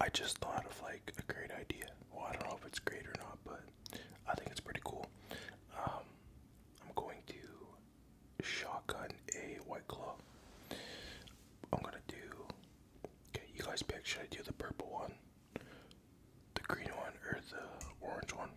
I just thought of like a great idea. Well, I don't know if it's great or not, but I think it's pretty cool. Um, I'm going to shotgun a white claw. I'm gonna do. Okay, you guys pick. Should I do the purple one, the green one, or the orange one?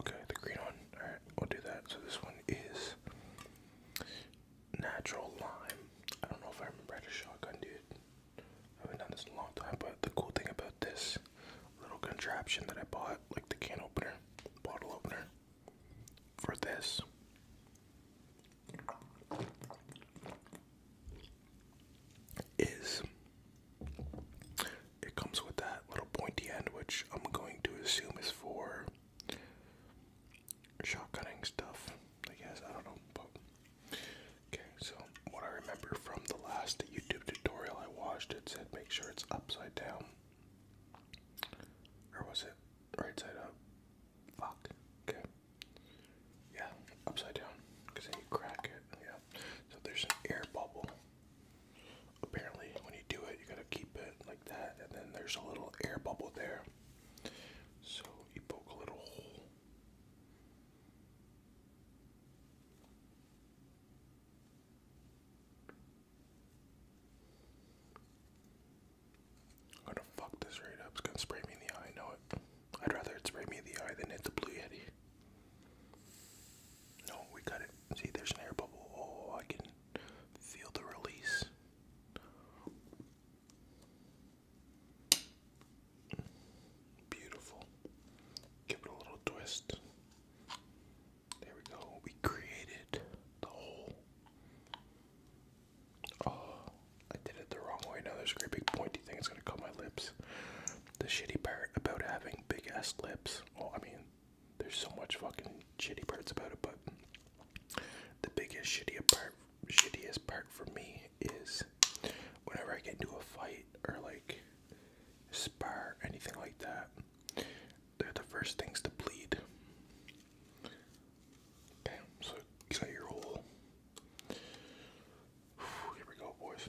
Okay, the green one. Alright, we'll do that. So this one is natural lime. I don't know if I remember how to shotgun, dude. I haven't done this a long time, but the cool thing about this little contraption that I bought, like the can opener, bottle opener, for this. Is it comes with that little pointy end, which I'm going to assume is for shotgunning stuff, I guess. I don't know. okay, so what I remember from the last YouTube tutorial I watched, it said make sure it's upside down. Or was it right side up? Fuck. Okay. Yeah, upside down. Because then you crack it. Yeah. So there's an air bubble. Apparently, when you do it, you gotta keep it like that, and then there's a little air bubble there. So you poke a little hole. I'm gonna fuck this right up. It's gonna spray me in the eye. I know it. I'd rather spray me in the eye than hit the blue yeti. No, we got it. See, there's an air bubble. Oh, I can feel the release. Beautiful. Give it a little twist. There we go. We created the hole. Oh, I did it the wrong way. Now there's a great big pointy thing. It's going to cut my lips. The shitty part about having big ass lips. Well, I mean, there's so much fucking shitty parts about it, but the biggest shitty part, shittiest part for me is whenever I get into a fight or like spar, anything like that. They're the first things to bleed. Okay, so you your whole. Here we go, boys.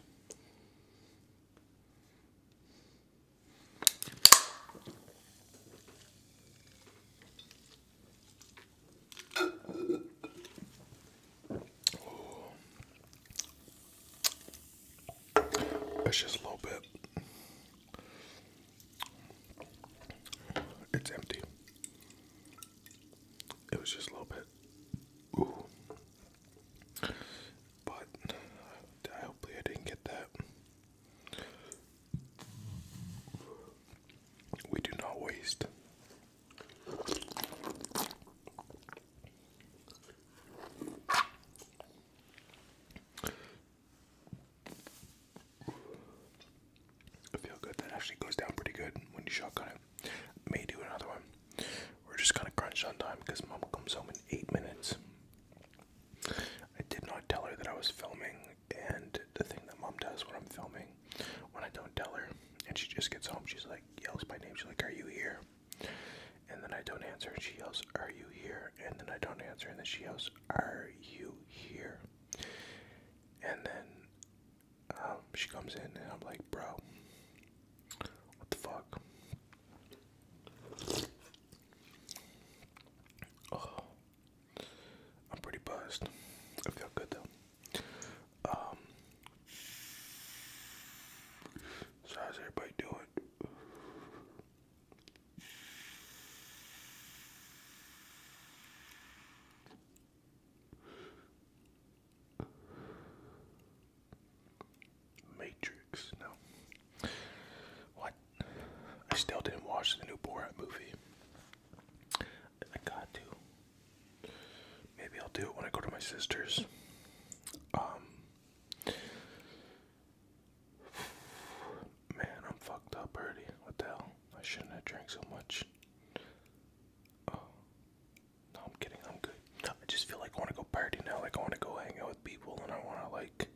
It's just a little bit. It's empty. It was just a little bit. Ooh. But uh, hopefully I didn't get that. We do not waste. I feel good. That actually goes down pretty good when you shotgun it. May do another one. We're just kind of crunch on time because Mama comes home in eight minutes. I did not tell her that I was filming, and the thing that mom does when I'm filming, when I don't tell her, and she just gets home, she's like, yells my name, she's like, Are you here? And then I don't answer, and she yells, Are you here? And then I don't answer, and then she yells, Are you here? And then um, she comes in, and I'm like, Bro, what the fuck? Oh, I'm pretty buzzed. I feel good though. Um, so how's everybody doing? Matrix, no. What? I still didn't watch the new Borat movie. I got to. Maybe I'll do it when I go to my sister's. Um. Man, I'm fucked up already. What the hell? I shouldn't have drank so much. Oh. No, I'm kidding. I'm good. I just feel like I want to go party now. Like, I want to go hang out with people and I want to, like,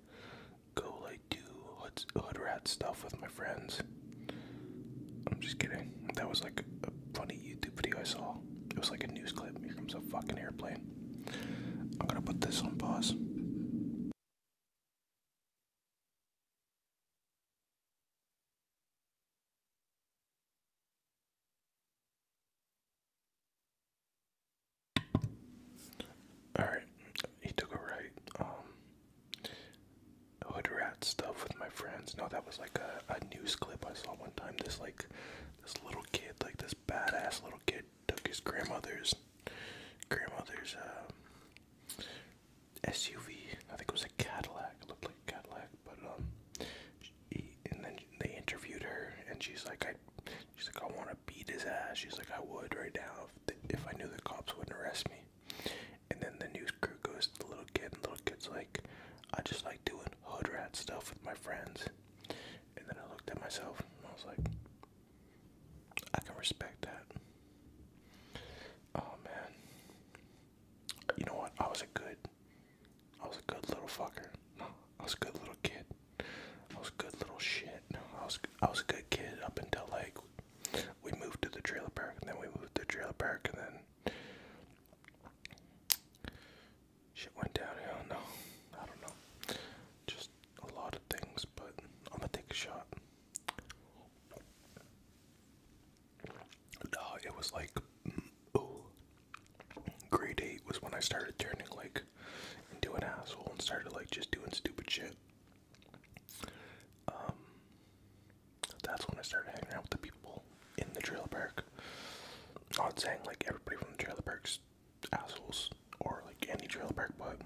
go like do hood, rat stuff with my friends. I'm just kidding. That was like a funny YouTube video I saw. It was like a news clip. Here comes a fucking airplane. I'm gonna put this on pause. All right, he took a right. Um, stuff with my friends. No, that was like a, news clip I saw one time. This like this little kid, like this badass little kid, took his grandmother's grandmother's um, SUV. I think it was a Cadillac. It looked like a Cadillac, but um, he, and then they interviewed her, and she's like, I She's like, I want to beat his ass. She's like, I would right now if, the, if I knew the cops wouldn't arrest me. And then the news crew goes to the little kid, and the little kid's like, I just like doing hood rat stuff with my friends. And then I looked at myself, and I was like, I can respect that. Oh man, you know what? I was a good, I was a good little fucker. No, I was a good little kid. I was a good little shit. I was I was a good kid up until like we moved to the trailer park, and then we moved to the trailer park, and then shit went downhill. No, I don't know. Just a lot of things, but I'm gonna take a shot. No, it was like, grade eight was when I started turning like into an asshole and started like just doing stupid shit. Um, that's when I started hanging out with the people in the trailer park. Not saying like everybody from the trailer park's assholes or like any trailer park, but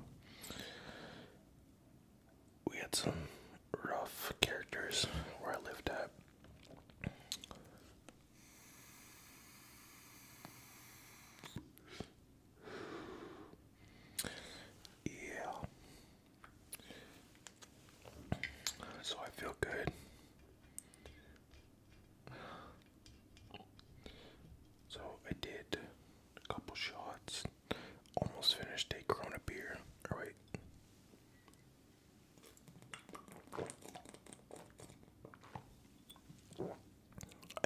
we had some rough characters where I lived at. Yeah. So I feel good. So I did a couple shots. Almost finished a Corona beer. All right.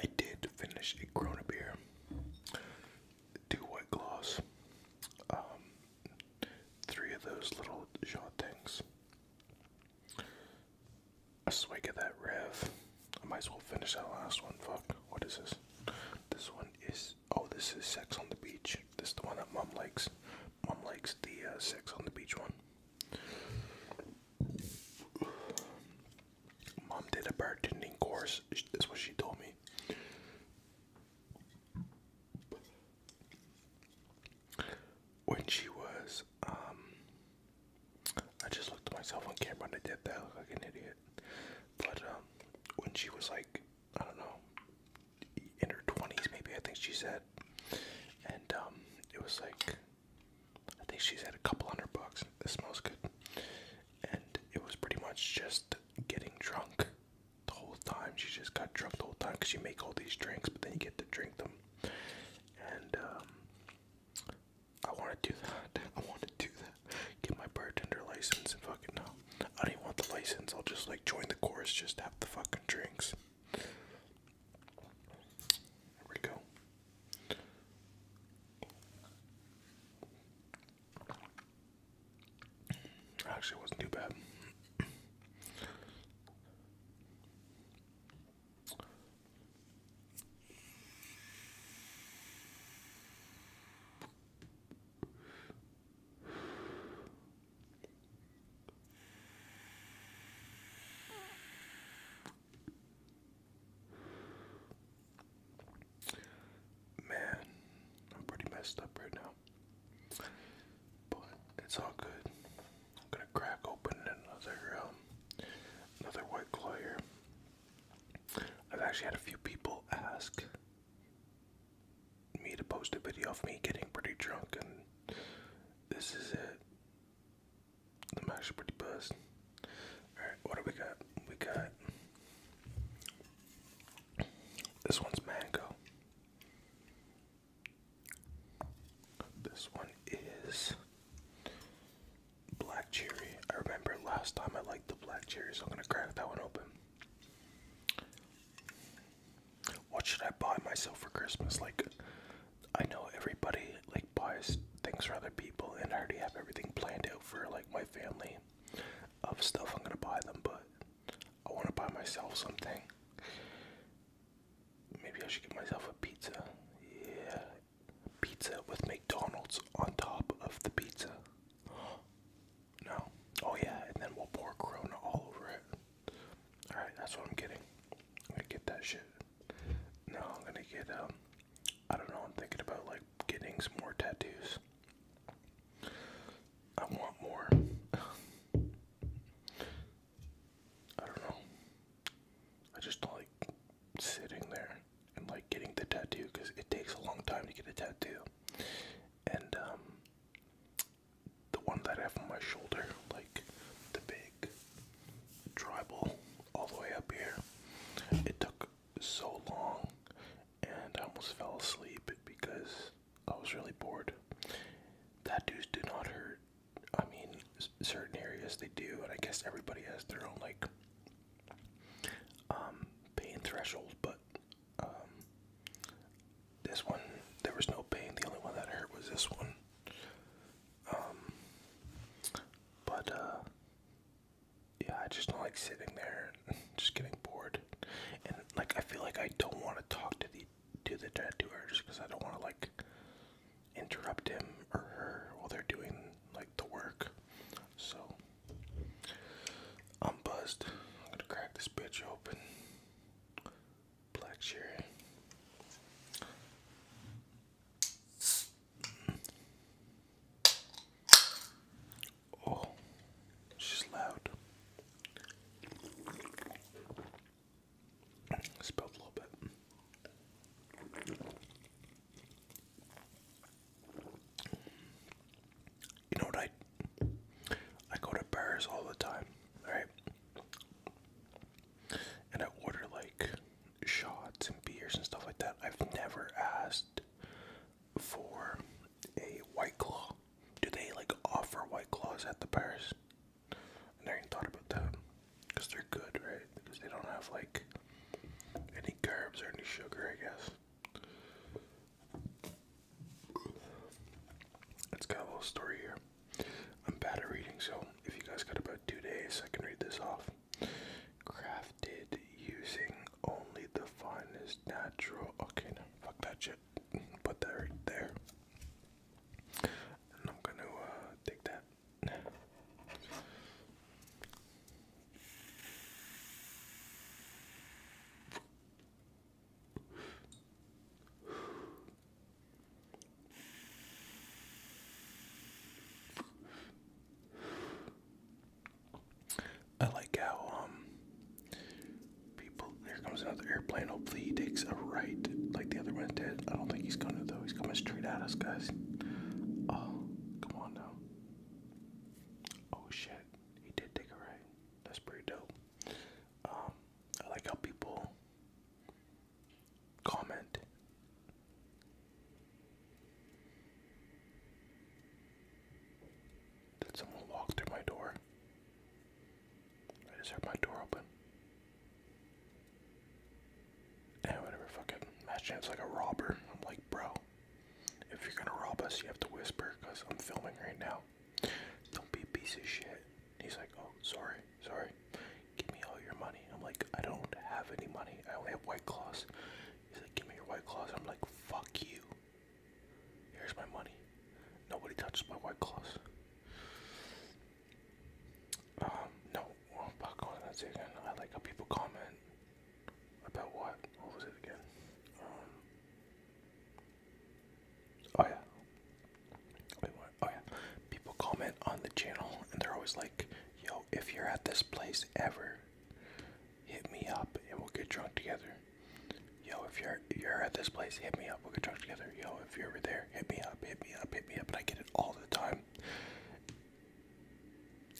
I did finish a Corona beer, two white gloss, um, three of those little shot things, a swig of that rev. I might as well finish that last one. Fuck, what is this? This one is oh, this is Sex on the Beach. This is the one that mom likes. Mom likes the uh, Sex on the Beach one. Mom did a bartending course. That's what she told me. When she was, um, I just looked at myself on camera and I did that look like an idiot. But um, when she was like, I don't know, in her twenties, maybe I think she said, and um, it was like I think she's had a couple hundred bucks. This smells good. And it was pretty much just getting drunk the whole time. She just got drunk the whole time because you make all these drinks, but then you get to drink them. And um, I want to do that. I want to do that. Get my bartender license and fucking no. I don't even want the license. I'll just like join the chorus, just have the fucking drinks. There we go. Actually, it wasn't too bad. Man, I'm pretty messed up right now. But it's all good. I'm gonna crack open another um, another white claw here. I've actually had a few people ask me to post a video of me getting pretty drunk and this is it. I'm actually pretty buzzed. Alright, what do we got? We got this one's mango. This one is black cherry. I remember last time I liked the black cherry, so I'm gonna crack that one open. What should I buy myself for Christmas? Like, I know everybody, like, Buy things for other people, and I already have everything planned out for like my family of stuff I'm gonna buy them, but I want to buy myself something. Maybe I should get myself a pizza. Yeah, pizza with McDonald's on top of the pizza. No. Oh yeah, and then we'll pour Corona all over it. All right, that's what I'm getting. i get that shit. No, I'm gonna get um I don't know, I'm thinking about like getting some more tattoos. I want more. I don't know. I just don't like sitting there and like getting the tattoo because it takes a long time to get a tattoo. And um the one that I have on my shoulder, like the big tribal all the way up here. It took so long and I almost fell asleep because I was really bored. That Tattoos did not hurt. I mean, certain areas they do, and I guess everybody has their own like um, pain threshold. But um, this one, there was no pain. The only one that hurt was this one. Um, but uh, yeah, I just don't like sitting there and just getting bored, and like I feel like I don't want to talk to the to the tattooer just because I don't want to like interrupt him or her while they're doing like the work. So I'm buzzed. I'm gonna crack this bitch open black cherry. Oh, she's loud. Spilled a little bit. You know what I I go to bars all the time, right? and I order like shots and beers and stuff like that, I've never asked for a white claw. Do they like offer white claws at the bars? I never even thought about that because they're good, right? Because they don't have like any carbs or any sugar, I guess. It's got a little story here. I'm bad at reading, so if you guys got about two days, I can read this off. Crafted using only the finest natural. Okay, fuck that shit. Put that right there. And I'm gonna uh, take that. I like how um people here comes another airplane. Hopefully he takes a right like the other one did. I don't think he's gonna though. He's coming straight at us guys. Oh, come on now. Oh shit. He did take a right. That's pretty dope. Um I like how people comment. Did someone walk through my door? I just heard my door open. And whatever, fucking imagine it's like a robber. I'm like, bro, if you're gonna rob us, you have to whisper because I'm filming right now. Don't be a piece of shit. He's like, oh, sorry, sorry. Give me all your money. I'm like, I don't have any money. I only have white claws. He's like, give me your white claws. I'm like, fuck you. Here's my money. Nobody touches my white claws. Um, no, well, i going that again. I like how people comment about what? What was it again? Um, Oh yeah. Oh yeah. People comment on the channel and they're always like, "Yo, if you're at this place ever, hit me up and we'll get drunk together." Yo, if you're you're at this place, hit me up. We'll get drunk together. Yo, if you're ever there, hit me up. Hit me up. Hit me up. And I get it all the time.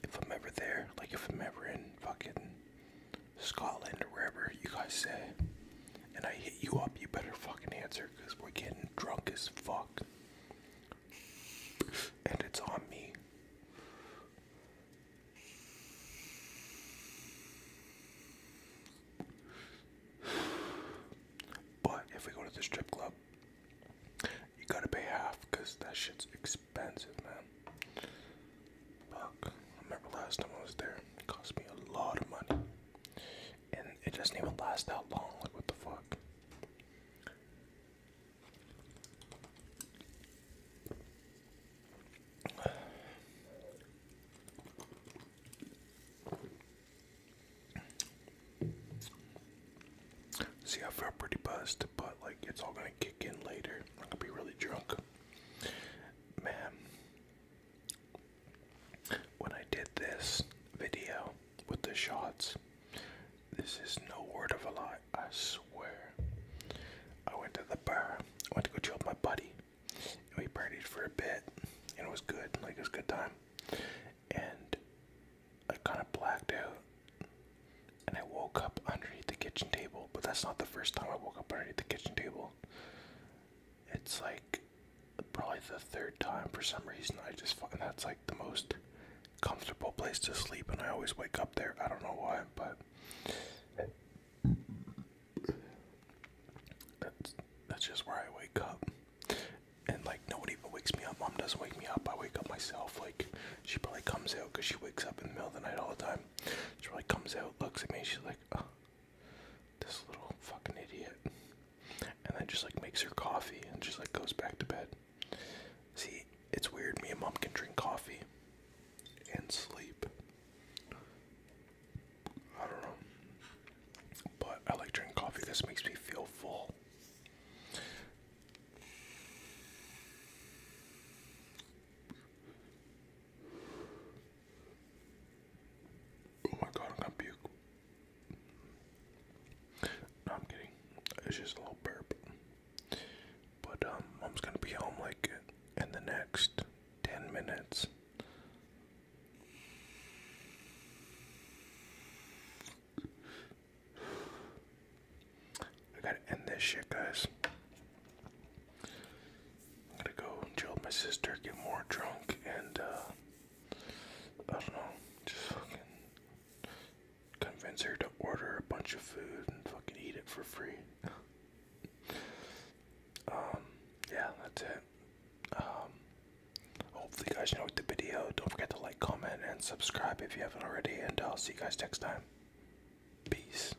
If I'm ever there, like if I'm ever in fucking Scotland or wherever you guys say, and I hit you up, you better fucking answer because we're getting drunk as fuck. And it's on me. But if we go to the strip club, you gotta pay half because that shit's expensive, man. Fuck. remember last time I was there, cost me a lot of money and it doesn't even last that long. Like, what the fuck? See, I felt pretty buzzed, but like it's all gonna kick in later. I'm gonna be really drunk, man when I did this video with the shots, this is no word of a lie, I swear. I went to the bar, I went to go chill with my buddy, and we partied for a bit, and it was good, like it was a good time. And I kind of blacked out, and I woke up underneath the kitchen table, but that's not the first time I woke up underneath the kitchen table. It's like probably the third time for some reason. I just find that's like the most comfortable place to sleep, and I always wake up there. I don't know why, but that's, that's just where I wake up. And like, no one even wakes me up. Mom doesn't wake me up. I wake up myself. Like, she probably comes out because she wakes up in the middle of the night all the time. She probably comes out, looks at me, she's like, this little fucking idiot. And then just like makes her coffee and just like goes back to bed. See, it's weird. Me and mom can drink coffee and sleep. I don't know. But I like drinking coffee This makes me feel full. Oh my god, I'm gonna puke. No, I'm kidding. It's just a little burp. But um, mom's gonna be home like in the next ten minutes. I gotta end this shit, guys. I'm gonna go and chill with my sister, get more drunk, and uh, I don't know, just fucking convince her to order a bunch of food and fucking eat it for free. um, yeah, that's it. Um, hopefully, guys enjoyed the video. Don't forget to like, comment, and subscribe if you haven't already, and I'll see you guys next time. Peace.